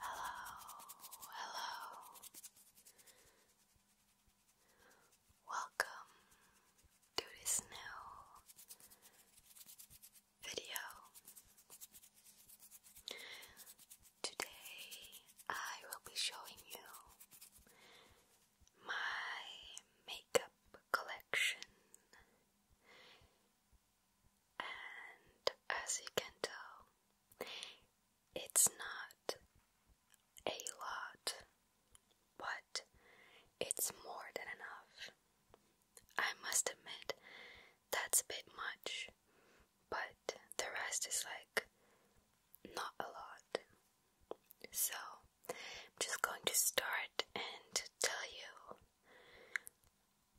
Hello, hello. Welcome to this new video. Today I will be showing you my makeup collection, and as you can tell, it's not a lot, but it's more than enough. I must admit, that's a bit much, but the rest is like not a lot. So I'm just going to start and tell you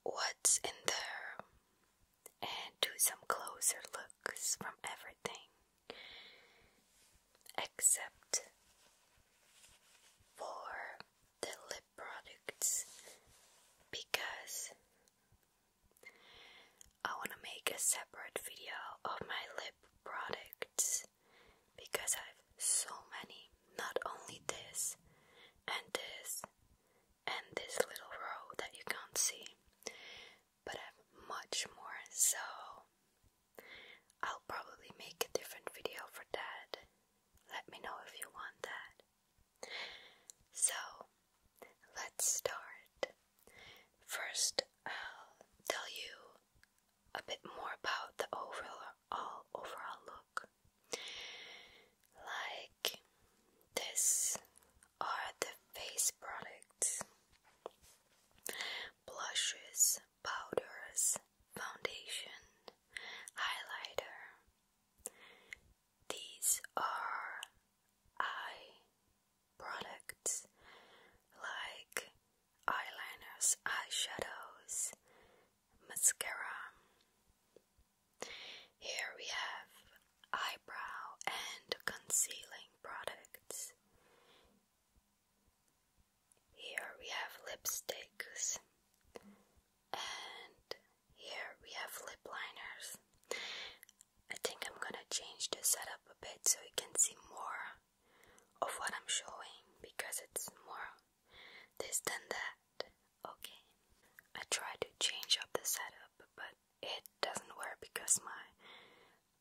what's in there and do some closer looks from everything except for the lip products because I want to make a separate video of my lip products because I have so many, not only this and this and this little row that you can't see, but I have much more so. I'll probably make a different video for that. Let me know if you want that. So, let's start. First, I'll tell you a bit more about the overall overall look. Like this are the face products, blushes, powders, foundation, highlighter, these are eye products like eyeliners, eyeshadows, mascara. Here we have eyebrow and concealing products. Here we have lipsticks, and here we have lip liners. I think I'm gonna change the setup a bit so you can see more of what I'm showing because it's more this than that. Okay. I tried to change up the setup but it doesn't work because my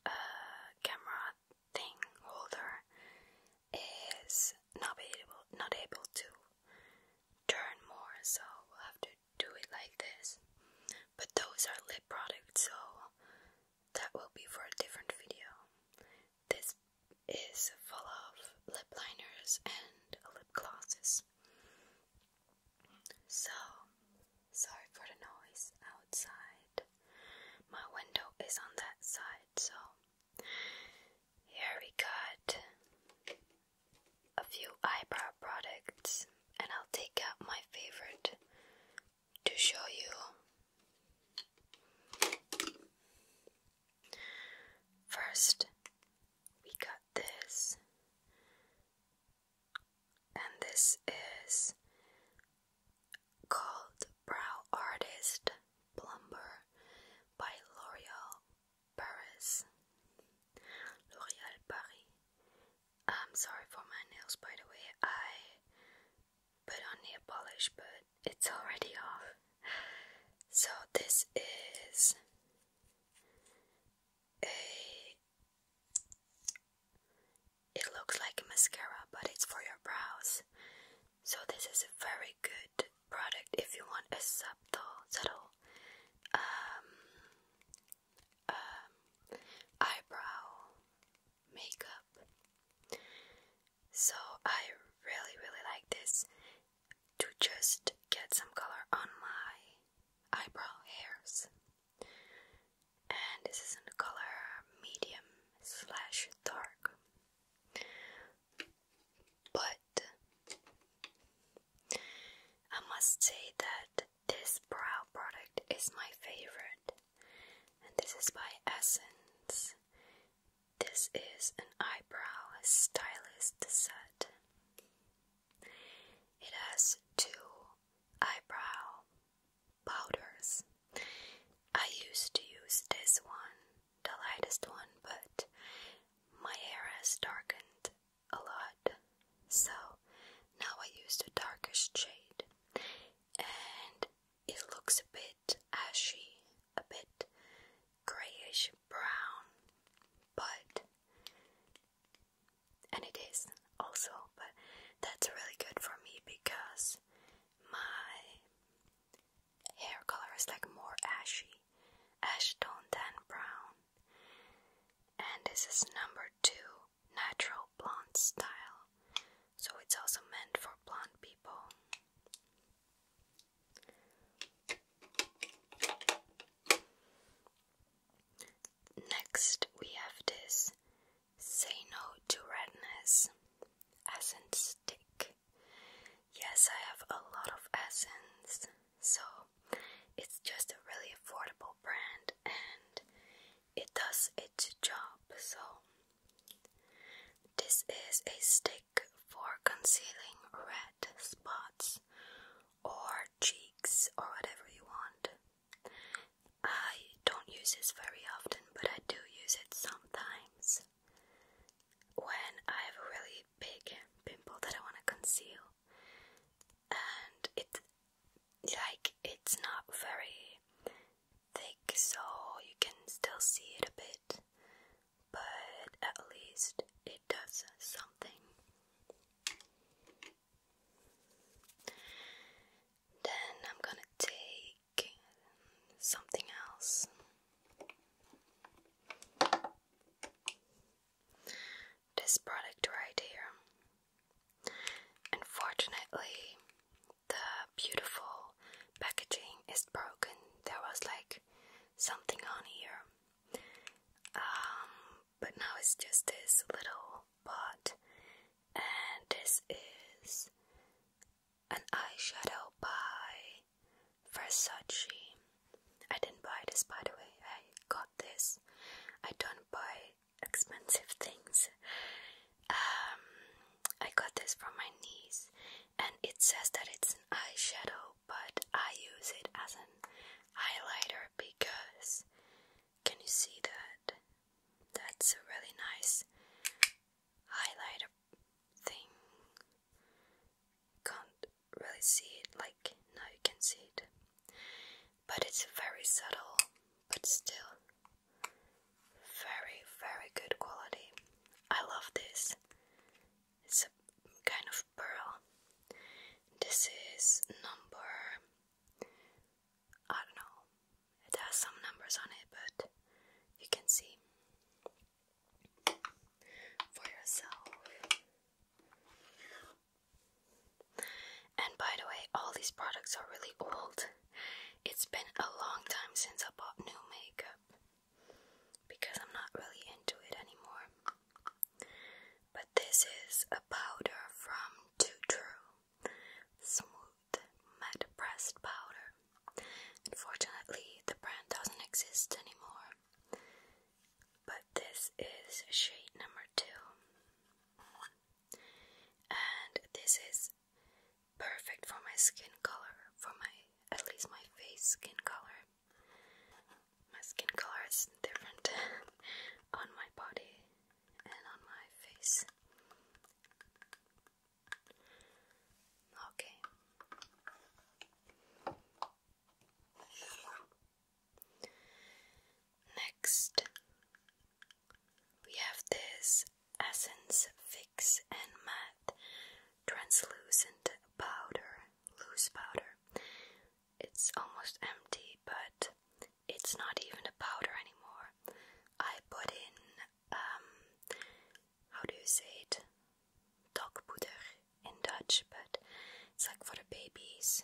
uh, camera thing holder is not able not able to turn more so we'll have to do it like this. But those are lip products, so that will be for a different video. This is full of lip liners and lip glosses. So, sorry for the noise outside. My window is on that side, so here we got a few eyebrow products and I'll take out my favorite to show you. First, we got this, and this is called Brow Artist Plumber by L'Oreal Paris, L'Oréal Paris. I'm sorry for my nails, by the way. I put on nail polish, but it's already off. So, this is a. It looks like a mascara, but it's for your brows. So, this is a very good product if you want a subtle, subtle um, um, eyebrow makeup. So I really, really like this to just get some color on my eyebrow hairs. And this is in the color medium slash dark. But I must say that this brow product is my favorite, and this is by Essence. This is an eyebrow stylist set. It has two eyebrow powders. I used to use this one, the lightest one, but my hair has darkened a lot. So now I use the darkest shade and it looks a bit ashy, a bit grayish brown, but and it is also, but that's really good for me because my hair color is like more ashy ash tone than brown and this is number two natural blonde style, so it's also meant for blonde people. Next, we have this Say No to Redness Essence Stick. Yes, I have a lot of essence, so it's just a really affordable brand and it does its job. So this is a stick for concealing red spots or cheeks or whatever you want. I don't use this very often, but I do use it sometimes when I have a really big pimple that I want to conceal and it like it's not very thick, so you can still see it a bit, but at least it does something. Then I'm gonna take something else this product right here. Unfortunately, the beautiful packaging is broken. There was like something on here. Um, but now it's just this little pot, and this is an eyeshadow by Versace. I didn't buy this by the way, I got this. I don't buy expensive things. Um, I got this from my niece, and it says that it's an eyeshadow, but I use it as an highlighter because can you see that? That's a really nice highlighter thing. Can't really see it like now you can see it. But it's very subtle, but still very, very good quality. I love this. It's a kind of pearl. This is number. I don't know. It has some numbers on it, but you can see for yourself. And by the way, all these products are really old. It's been a long time since I bought new makeup because I'm not really into it anymore. But this is a powder from Too True Smooth Matte Pressed Powder. Unfortunately, the brand doesn't exist anymore. But this is shade number two. And this is perfect for my skin color, for my at least my face skin color. My skin color is different on my body and on my face. Okay. Next, we have this Essence Fix and Matte Translucent Powder, Loose Powder. It's almost empty, but it's not even a powder anymore. I put in, um, how do you say it? dog powder in Dutch, but it's like for the babies,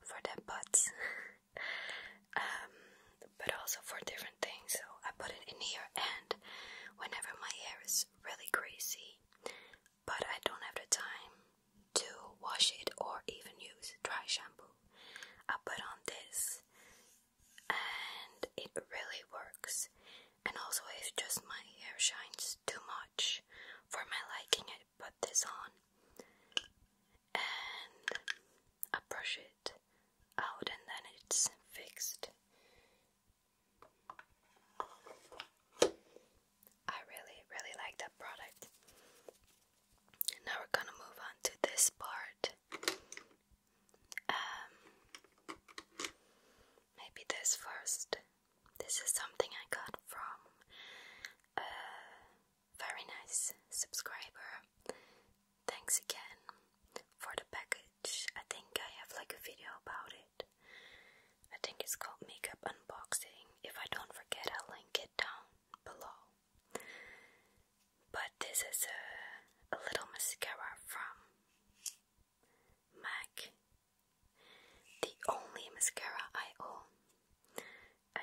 for their butts, um, but also for different things. So I put it in here, and whenever my hair is really greasy, but I don't have the time to wash it or even use dry shampoo, I put on this, and it really works. And also, if just my hair shines too much for my liking. I put this on and I brush it out, and then it's fixed. I really, really like that product. Now we're gonna move on to this part. Um, maybe this first. This is something I got from a very nice subscriber. Thanks again for the package. I think I have like a video about it. I think it's called Makeup Unboxing. If I don't forget, I'll link it down below. But this is a, a little mascara from MAC the only mascara I own.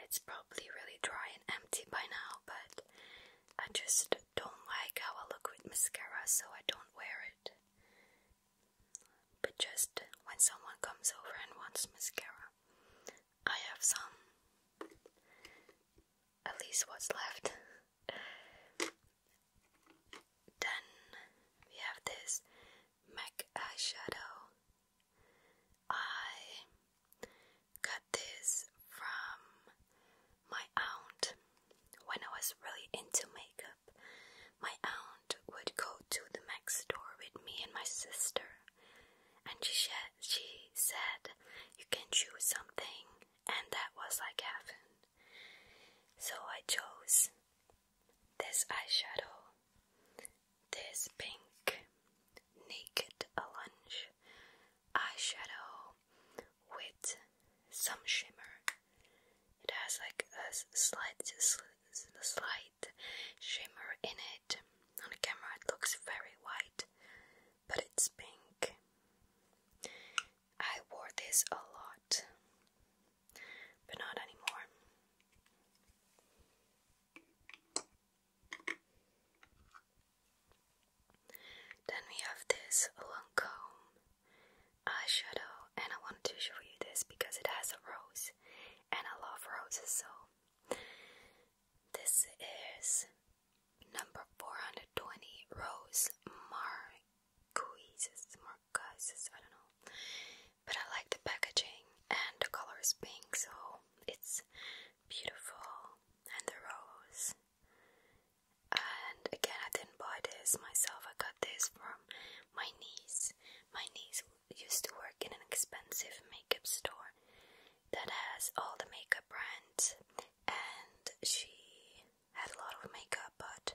It's probably really dry and empty by now, but I just don't like how I look with mascara, so I don't wear it. But just when someone comes over and wants mascara, I have some. At least what's left. then we have this MAC eyeshadow. Uh, I got this from my aunt when I was really into makeup. My aunt would go to the MAC store with me and my sister, and she she said you can choose something, and that was like heaven. So I chose this eyeshadow, this pink naked orange eyeshadow with some shimmer. It has like a slight, slight shimmer in it. On the camera, it looks very white, but it's pink. I wore this a lot but not anymore. Then we have this Lancome eyeshadow, and I wanted to show you this because it has a rose, and I love roses, so this is number 420 Rose Marguises. Mar guys, I don't know. But I like the packaging and the color pink, so it's beautiful. And the rose. And again, I didn't buy this myself. I got this from my niece. My niece used to work in an expensive makeup store that has all the makeup brands, and she had a lot of makeup, but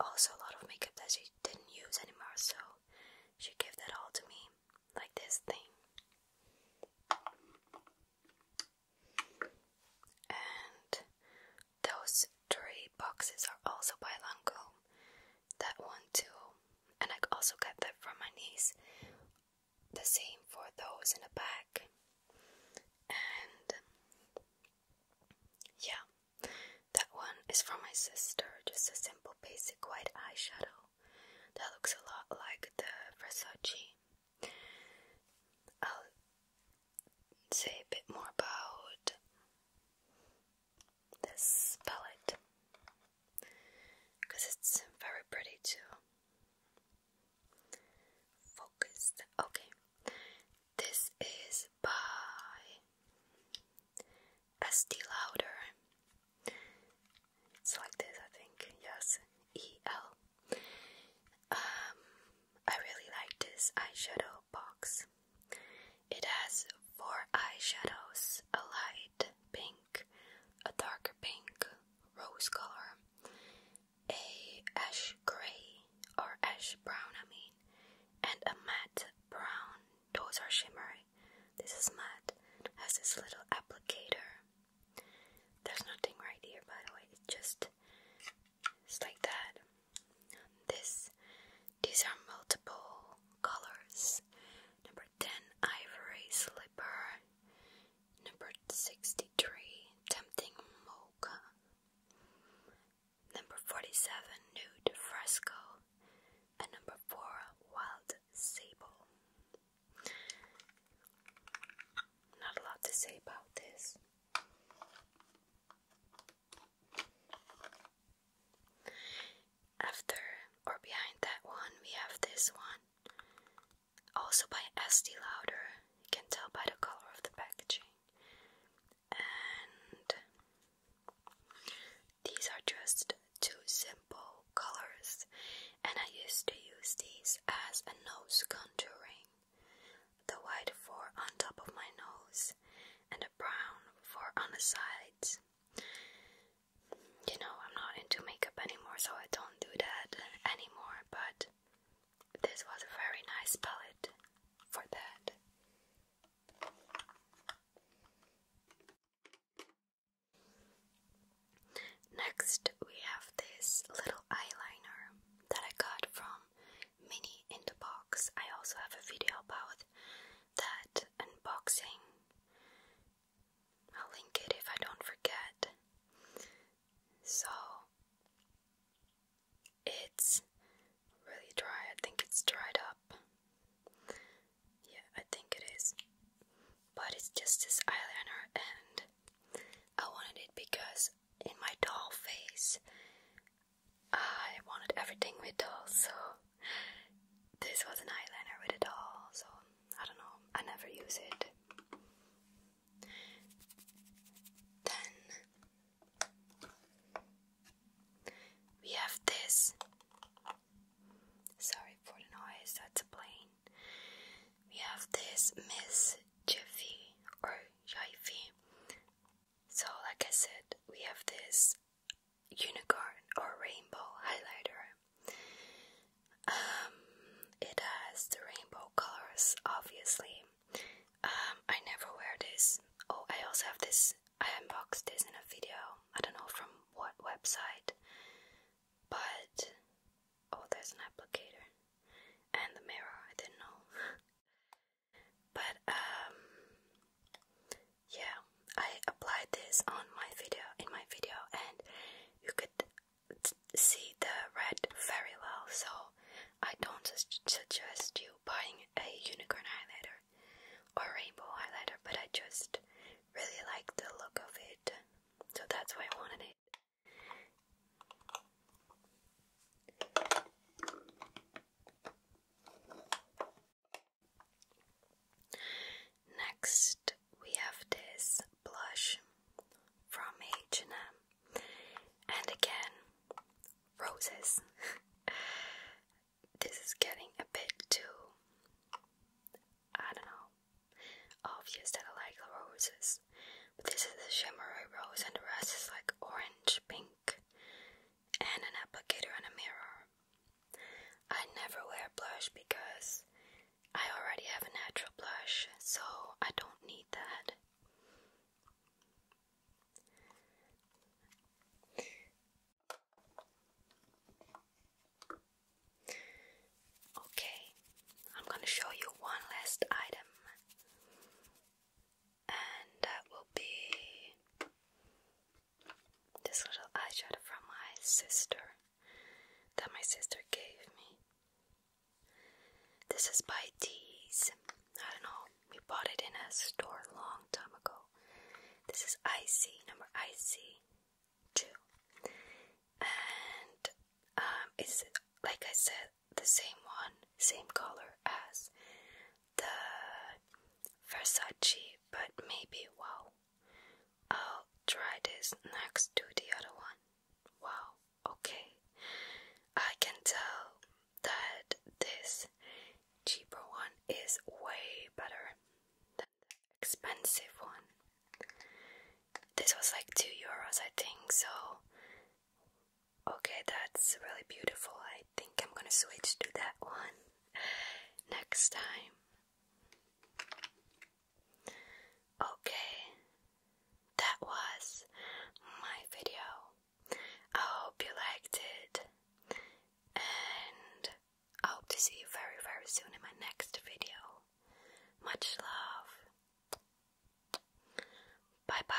also a lot of makeup that she didn't use anymore, so she gave that all to me, like this thing. And those three boxes are also by Lancome. That one too. And I also got that from my niece. The same for those in the back. And yeah, that one is from my sister, just a simple basic white eyeshadow that looks a lot like the Versace. I'll say a bit more about this palette because it's very pretty too. Focused. Okay, this is by S.D. Louder. It's like this, I think. Yes, E.L. Um, I really like this eyeshadow box. It has four eyeshadows a light pink, a darker pink, rose color, a ash gray or ash brown, I mean, and a matte brown. Those are shimmery. This is matte. Has this little applicator. There's nothing right here, by the way. It's just it's like that. This these are multiple colors. Number ten ivory slipper. Number sixty three tempting mocha. Number 47, Nude Fresco. And number 4, Wild Sable. Not a lot to say about this. After or behind that one, we have this one. Also by S. D. Louder. You can tell by the color of the packaging and these are just two simple colors and I used to use these as a nose contouring the white for on top of my nose and the brown for on the sides you know I'm not into makeup anymore so I don't do that anymore but this was a very nice palette for that Next, we have this little eyeliner that I got from Mini in the Box. I also have a video about that unboxing. I'll link it if I don't forget. So, it's really dry. I think it's dried up. Yeah, I think it is. But it's just this eyeliner, and I wanted it because in my doll face, I wanted everything with dolls, so this was an eyeliner with a doll, so I don't know, I never use it. Then we have this. Sorry for the noise, that's a plane. We have this Miss Jiffy or Jiffy. So, like I said, we have this unicorn or rainbow highlighter. Um, it has the rainbow colors, obviously. Um, I never wear this. Oh, I also have this. I unboxed this in a video. I don't know from what website, but oh, there's an applicator and the mirror. I didn't know, but um, yeah, I applied this on my video in my video, and you could see the red very well. So I don't suggest you buying it a unicorn highlighter or rainbow highlighter, but I just really like the look of it, so that's why I wanted it. Next, we have this blush from H&M. And again, roses. this is getting a bit too, I don't know, obvious that I like the roses. But this is a shimmery rose, and the rest is like orange, pink, and an applicator and a mirror. I never wear blush because I already have a natural blush, so I don't need that. Okay, I'm going to show you one last item, and that will be this little eyeshadow from my sister that my sister gave me. This is by Tease. I don't know we bought it in a store a long time ago. This is IC, number IC2. And um, it's, like I said, the same one, same color as the Versace, but maybe, wow. I'll try this next to the other one. Wow, okay. I can tell that this cheaper one is way better than the expensive one. This was like 2 euros, I think, so okay, that's really beautiful. I think I'm gonna switch to that one next time. Okay, that was my video. I hope you liked it, and I hope to see you very, very soon in my next video. Much love. Bye bye.